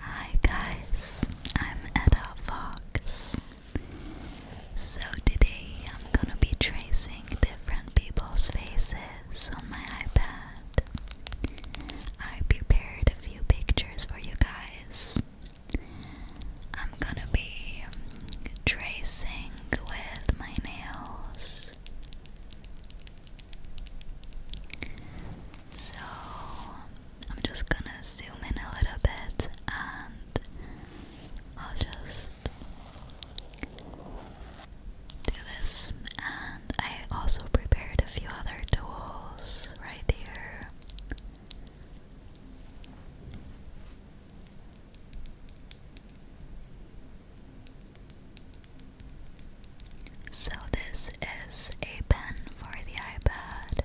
Hi guys, I'm Etta Fox. So today I'm gonna be tracing different people's faces on my iPad. I prepared a few pictures for you guys. I'm gonna be tracing with my nails. So I'm just gonna zoom in a little bit and I'll just do this. And I also prepared a few other tools right here. So, this is a pen for the iPad.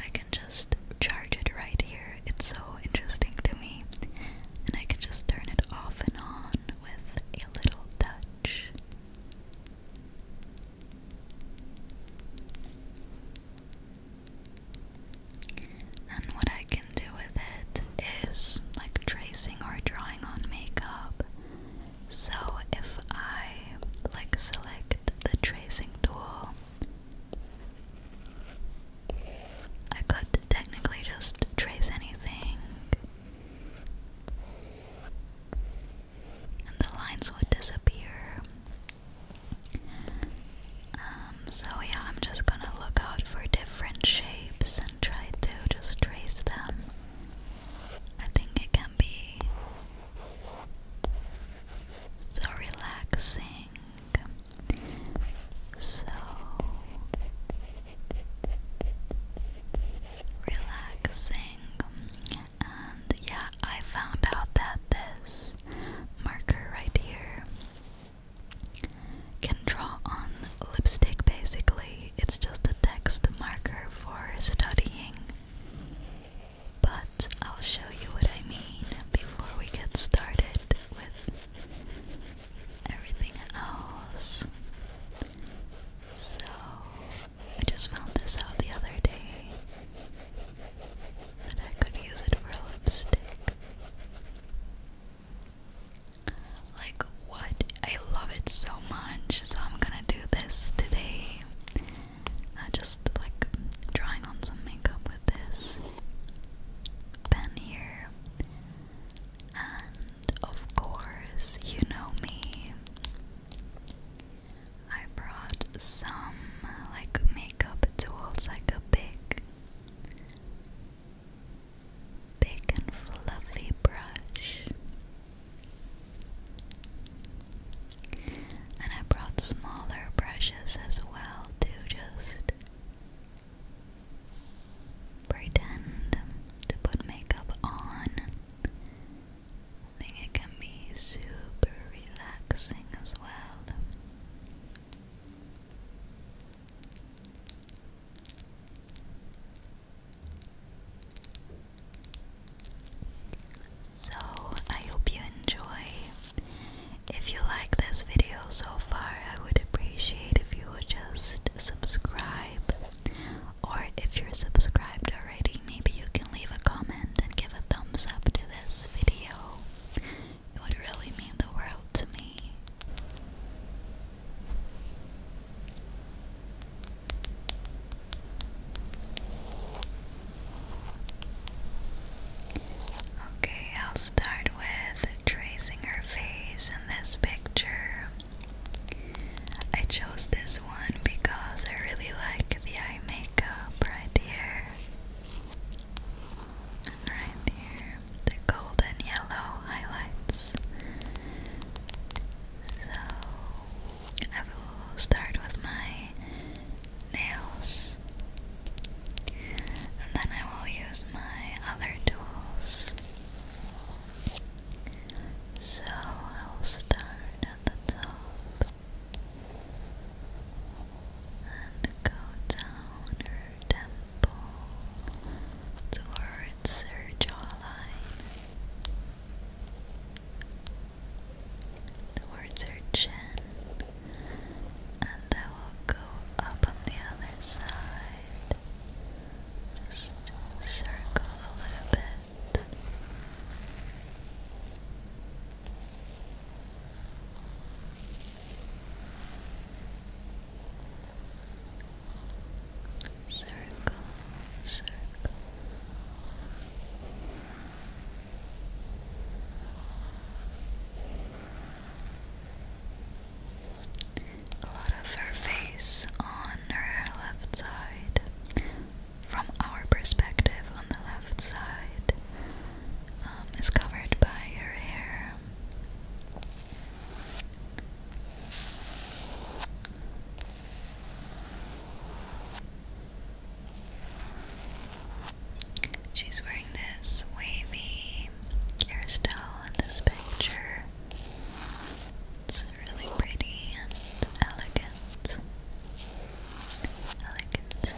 I can just charge it right here. It's so interesting to me. And I can just turn it off and on with a little touch. And what I do with it is like tracing or drawing on makeup. So if I like select the tracing tool, I could technically just trace anything and the lines would disappear. Um, so, yeah, I'm just gonna look out for different shapes try to just trace them. I think it can be so relaxing, so relaxing. And yeah, I found out that this marker right here can draw on lipstick basically. It's just a text marker for studying. But I'll show you what I mean before we get started with everything else. So, I just found this out the other day that I could use it for lipstick. Like, what? I love it so much. So, I'm gonna do this today. Uh, just like drawing on some makeup with this pen here. And of course, you know me. I brought some like makeup tools, like a pick big and fluffy brush. And I brought smaller brushes as well to just pretend to put makeup on. I think it can be super relaxing as well. So, I hope you enjoy. If you like this video so far, I would appreciate if you would just subscribe. Or if you're subscribed already, maybe you can leave a comment and give a thumbs up to this video. It would really mean the world to me. Okay, I'll start with tracing her face in this picture. I chose this one because I really like the eye makeup right here. right here, the golden yellow highlights. So I will start with my nails and then I will use my other tools. So I'll start at the top and go down her temple towards her jaw. The words are chin, and I will go up on the other side. Just circle a little bit circle, circle. A lot of her face on her left side, from our perspective on the left side, um, is covered by her hair. She's wearing this wavy hairstyle in this picture. It's really pretty and elegant. Elegant.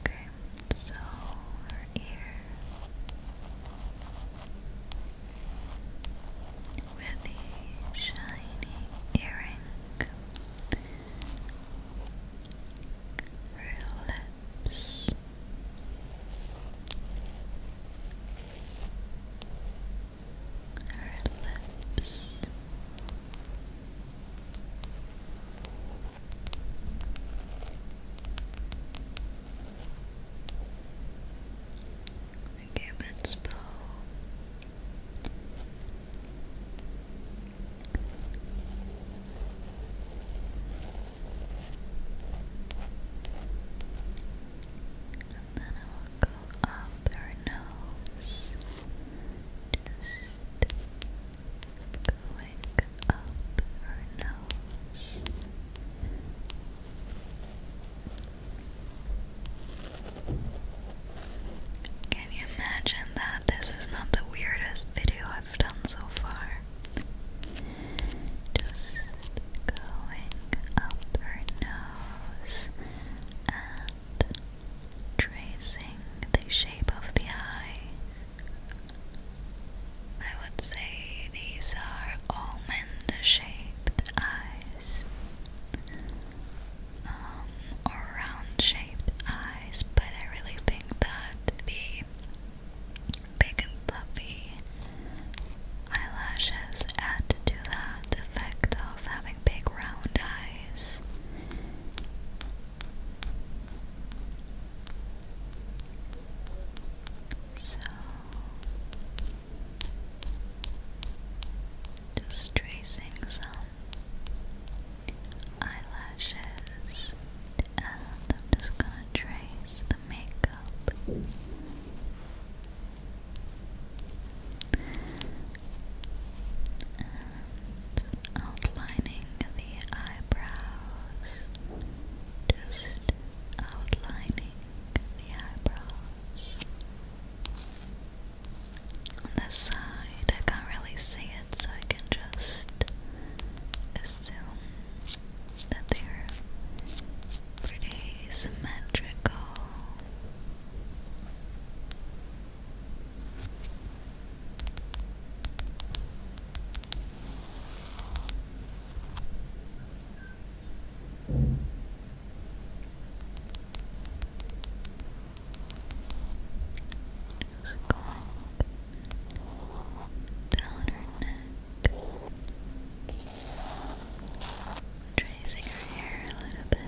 Okay, so her with the shiny earring for your lips. Her lips. The cupid's bow and then I will go up her nose, just going up her nose. Can you imagine that? This is not the weirdest video I've done so far. Just going up her nose and tracing the shape of the eye. I would say these are almond shaped eyes. Um, or round shaped eyes but I really think that the big and fluffy eyelashes add to that effect of having big round eyes. So just tracing some eyelashes and I'm just gonna trace the makeup outlining the eyebrows just outlining the eyebrows on this side I can't really see it it so I can just assume that they're pretty symmetrical feels down her neck, tracing her hair a little bit.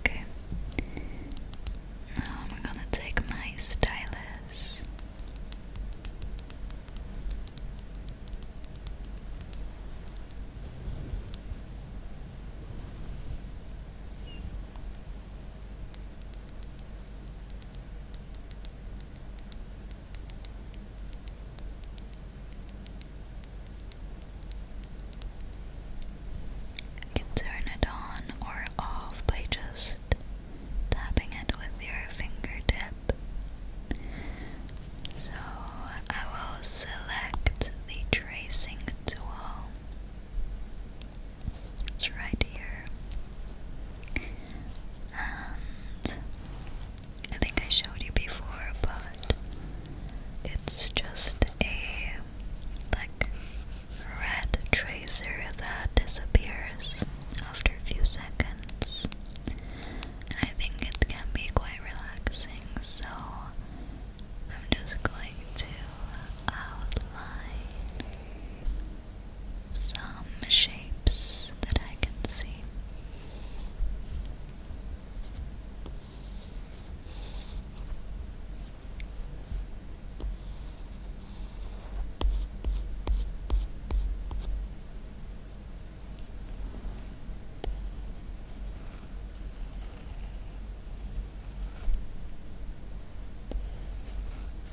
Okay. Now I'm gonna take my stylus. You can turn it on or off by just tapping it with your fingertip. So I will select the tracing tool it's right here. And I think I showed you before, but it's just a like red tracer that disappears after a few seconds. I think it can be quite relaxing, so I'm just going to outline some shapes that I can see.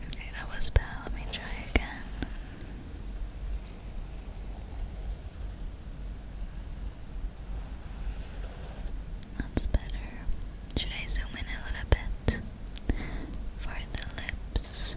Okay, that was bad. Let me try again. That's better. Should I zoom in a little bit for the lips?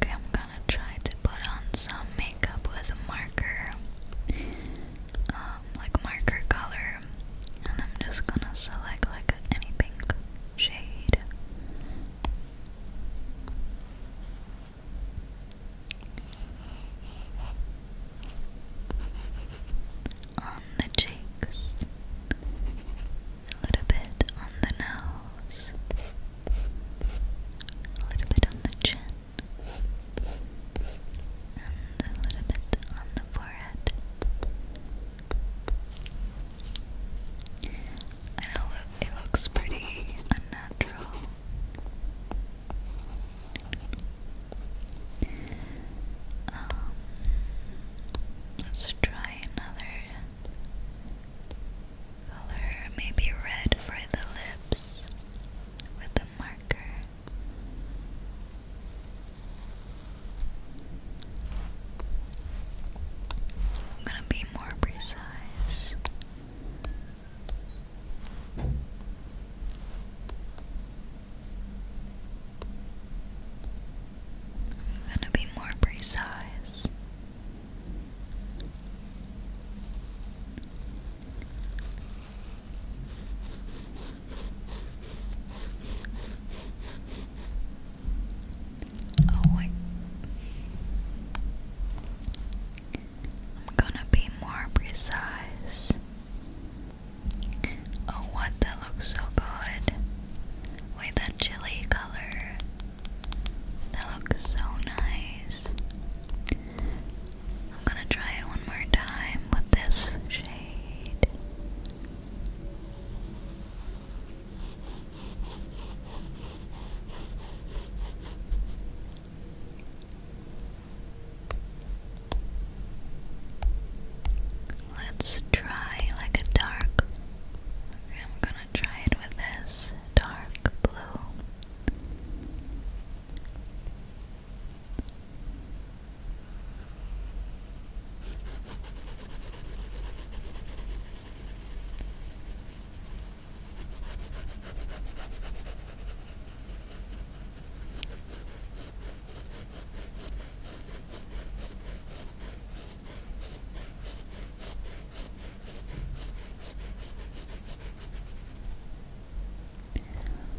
Okay, i I'm gonna try to put on some makeup with a marker, um, like marker color, and I'm just gonna select like any pink shade. On the cheeks, a little bit on the nose, a little bit on the chin, and a little bit on the forehead. I know it looks pretty unnatural. Um, let's try another color, maybe red for the lips with a marker. I'm gonna be more precise. I'm gonna be more precise. Oh, wait. I'm gonna be more precise. Oh, what that looks so good. Wait, that chili color that looks so nice. I'm gonna try it one more time with this shade. Let's try like a dark. Okay, I'm gonna want to try it with this dark blue.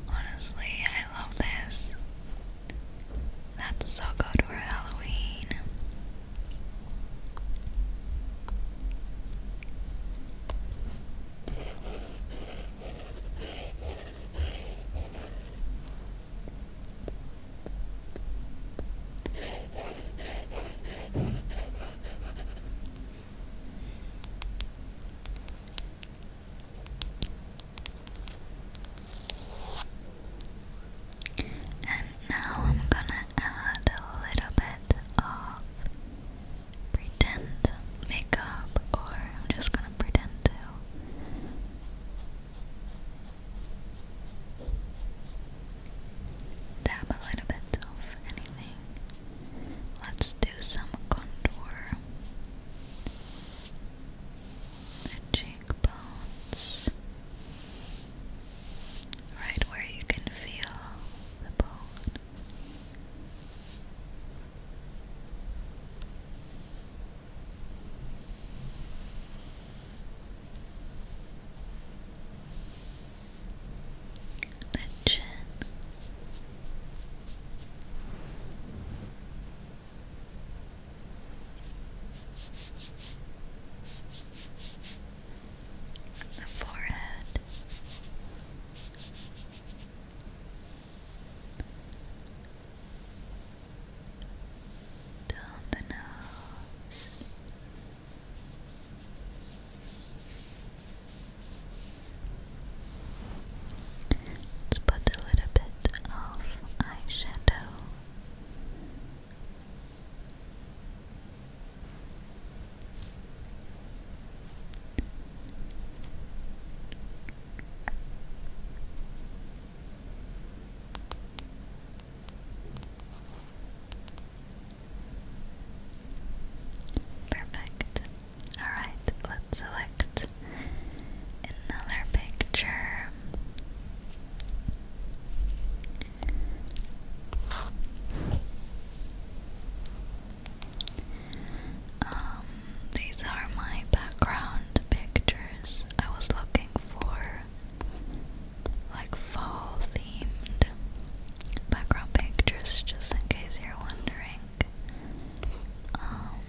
Honestly, I love this. That's so good for Halloween. And now I'm gonna add a little bit of pretend makeup, or I'm just gonna pretend to. Dab a little bit of anything. Let's do some contour. The cheekbones. Right where you can feel the bone the chin. The forehead, down the nose, Let's put a little bit of eyeshadow. Perfect. Alright, let's select another picture. Um, these are my background pictures. I was looking for like fall themed background pictures just in case you're wondering. Um,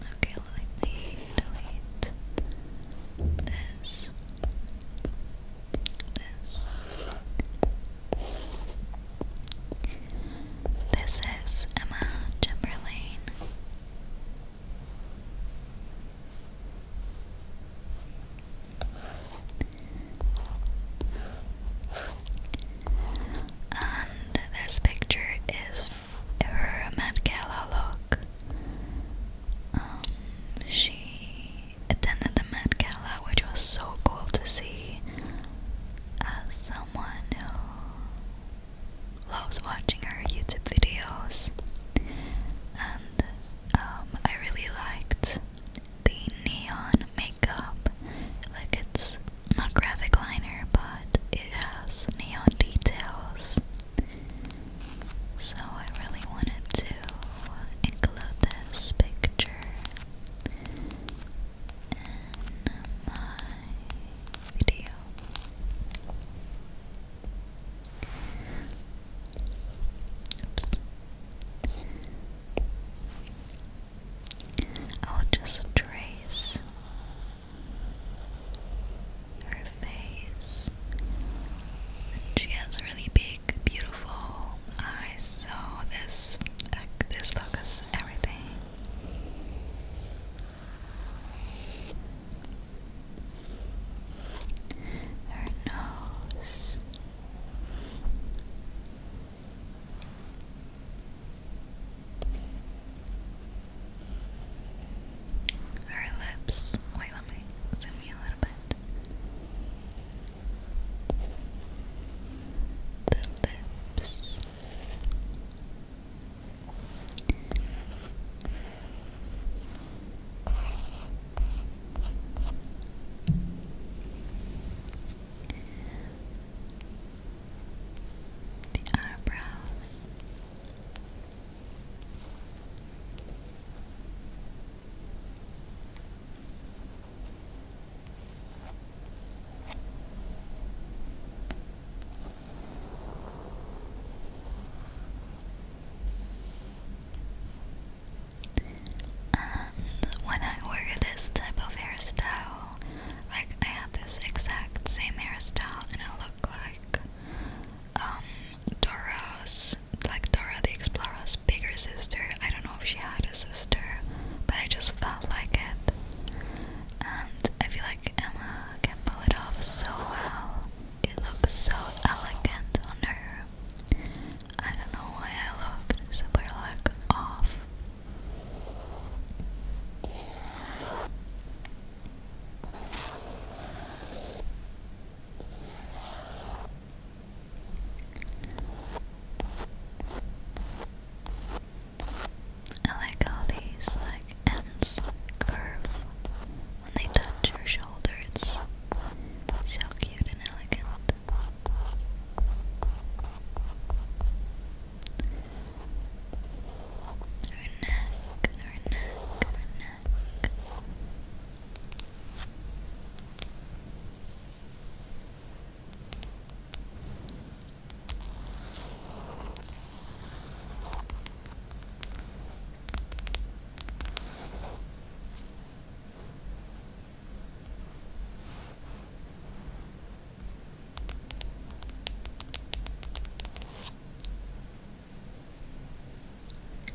okay, let me delete this. This. This is Emma Chamberlain. And this picture is her Met Gala look. Um, she attended the Met Gala, which was so cool to see as someone who loves watching her YouTube videos. And um, I really liked the neon makeup. Like it's not graphic liner, but it has neon details. So I really wanted to include this picture in my video. I'll just trace her face. She has really big, beautiful eyes, so this uh, this look is everything her nose. Her lips. Wait, let me zoom in a little bit. The lips. The eyebrows when I wear this type of hairstyle, like I had this exact same hairstyle, and I look like um, Dora's, like Dora the Explorer's bigger sister. I don't know if she had a sister, but I just felt like it, and I feel like Emma can pull it off so well. It looks so elegant on her. I don't know why I look super like off. I like how these like ends curve when they touch your shoulder. It's so cute and elegant. Her neck, her neck, her neck.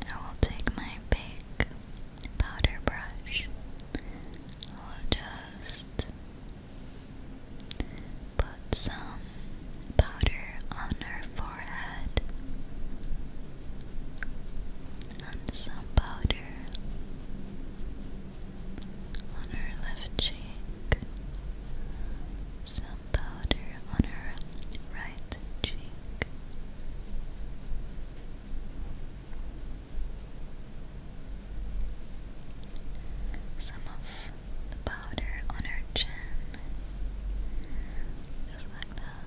I will take my big powder brush. I'll just put some powder on her forehead and some powder on her left cheek, some powder on her right cheek. Some of the powder on her chin, just like that.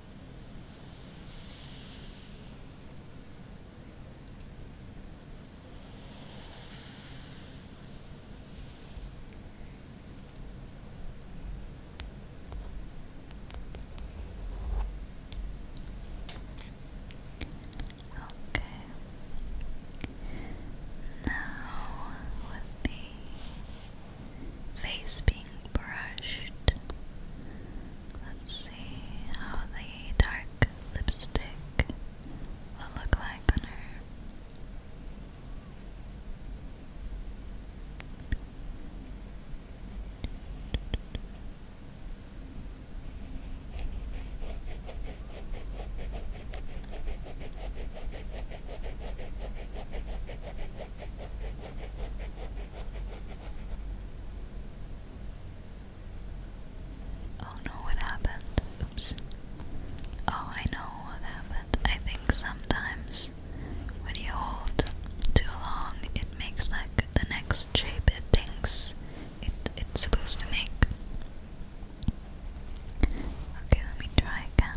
Okay. Now with the face being brushed. Let's see how the dark lipstick will look like on her. Oh no, what happened? Oops. Oh, I know what happened. I think sometimes when you hold too long, it makes like the next shape it thinks it, it's supposed to make. Okay, let me try again.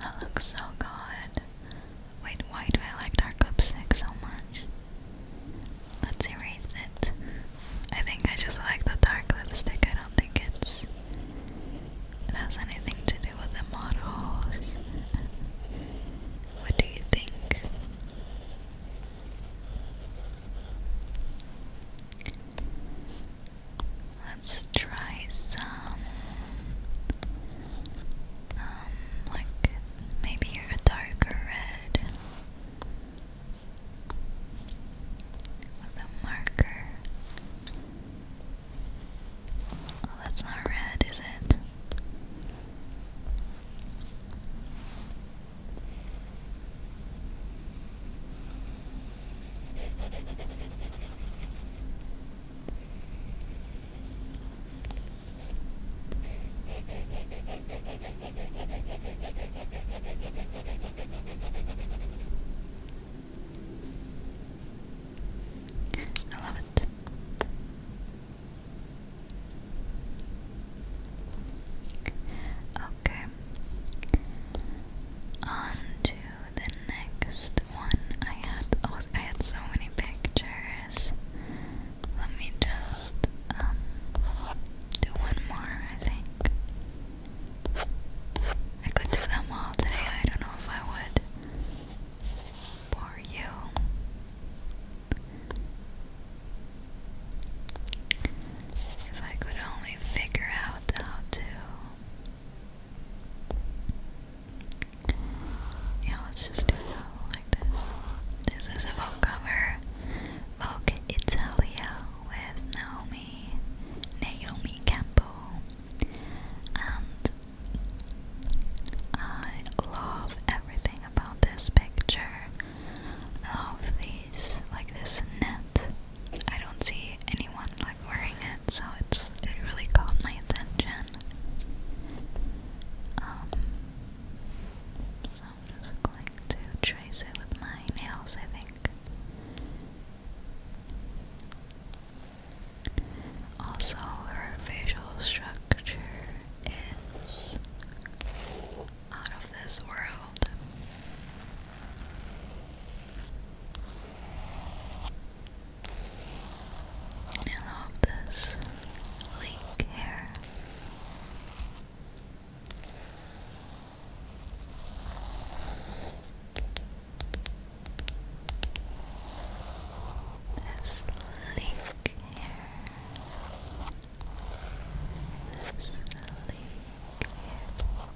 That looks so good. Wait, why do I like dark lipstick so much? Let's erase it. I think I just like the dark lipstick. I don't think it's it has anything to do with the models. What do you think? Let's try some, um, like maybe a darker red with a marker. Oh, that's not red, is it? I love it. Okay, on to the next one. I had oh, I had so many pictures. Let me just um, do one more. I think I could do them all today. I don't know if I would bore you. If I could only figure out how to. Yeah, let's just do it like this. This is a Vogue cover. Vogue Italia with Naomi, Naomi Campbell. And I love everything about this picture. love these, like this net I don't see anyone like wearing it, so it's it really caught my attention. Um, so I'm just going to trace it with my nails, I think. Also, her facial structure is out of this world. I love this link here. This link here. This link here.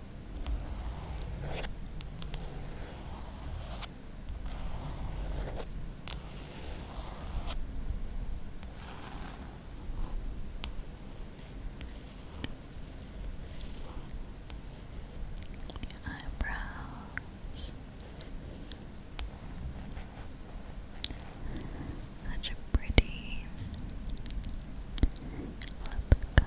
Your eyebrows. Such a pretty lip color.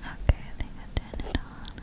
Okay, I think I turned it on.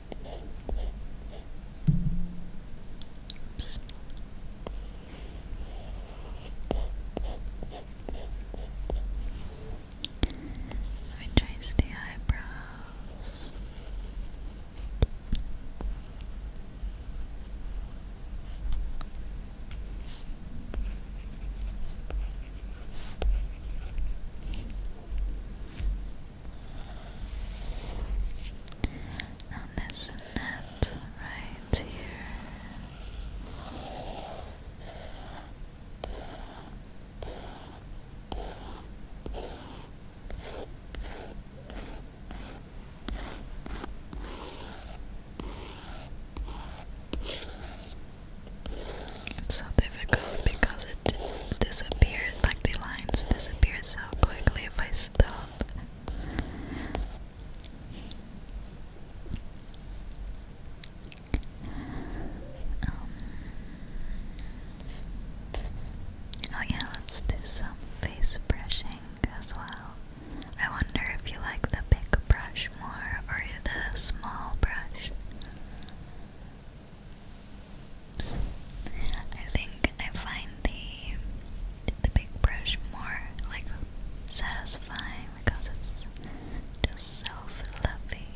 Oops. Let trace the eyebrows and this net right here. It's so difficult because it disappeared, like the lines disappear so quickly if I um, oh yeah, let's do some face brushing as well. I wonder if you like the big brush more or the small brush times. I think I find the the big brush more like satisfying because it's just so fluffy.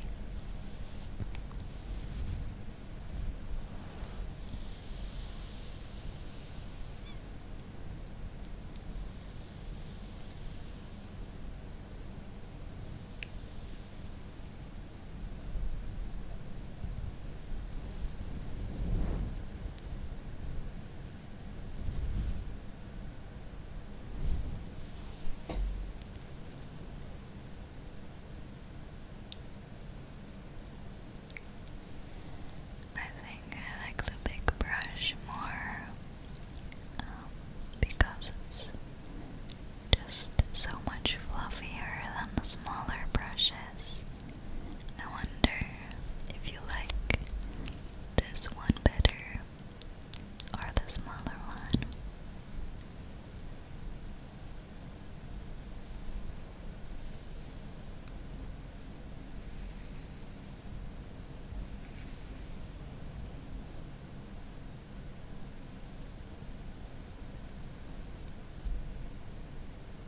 I think I like the big brush more um, because it's just so much fluffier than the smaller brushes. I wonder if you like this one better or the smaller one.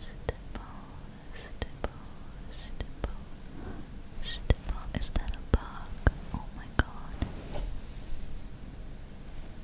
Stipple, stipple, Is that a bug? Oh my god.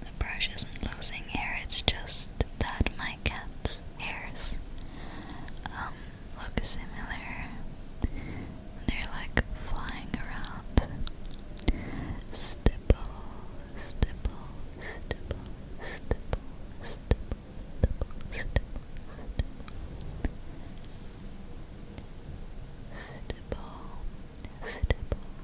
The brush isn't losing hair, it's just that my cat's hairs um, look similar. They're like flying around. Stipple, stipple, stipple, stipple, stipple, stipple, stipple. Stipple, stipple,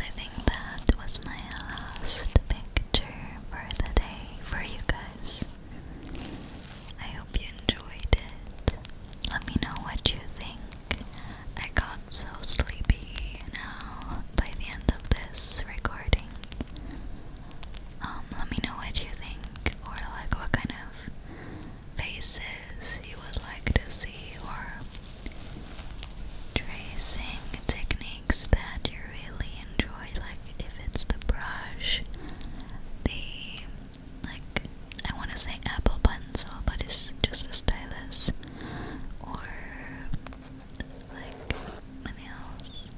I think that was my last picture for the day for you guys. I hope you enjoyed it. Let me know what you think. I got so sleepy now by the end of this recording. Um, let me know what you think or like what kind of faces you would like to see or tracing techniques that you really enjoy like if it's the brush the like I want to say apple pencil but it's just a stylus or like nails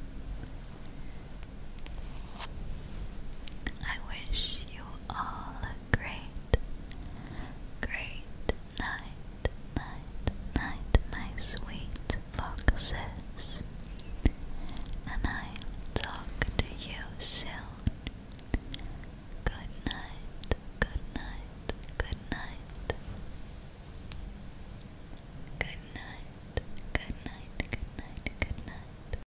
I wish you all a great, great night, night, night, my sweet foxes. And I'll talk to you soon. Good night, good night, good night. Good night, good night, good night, good night.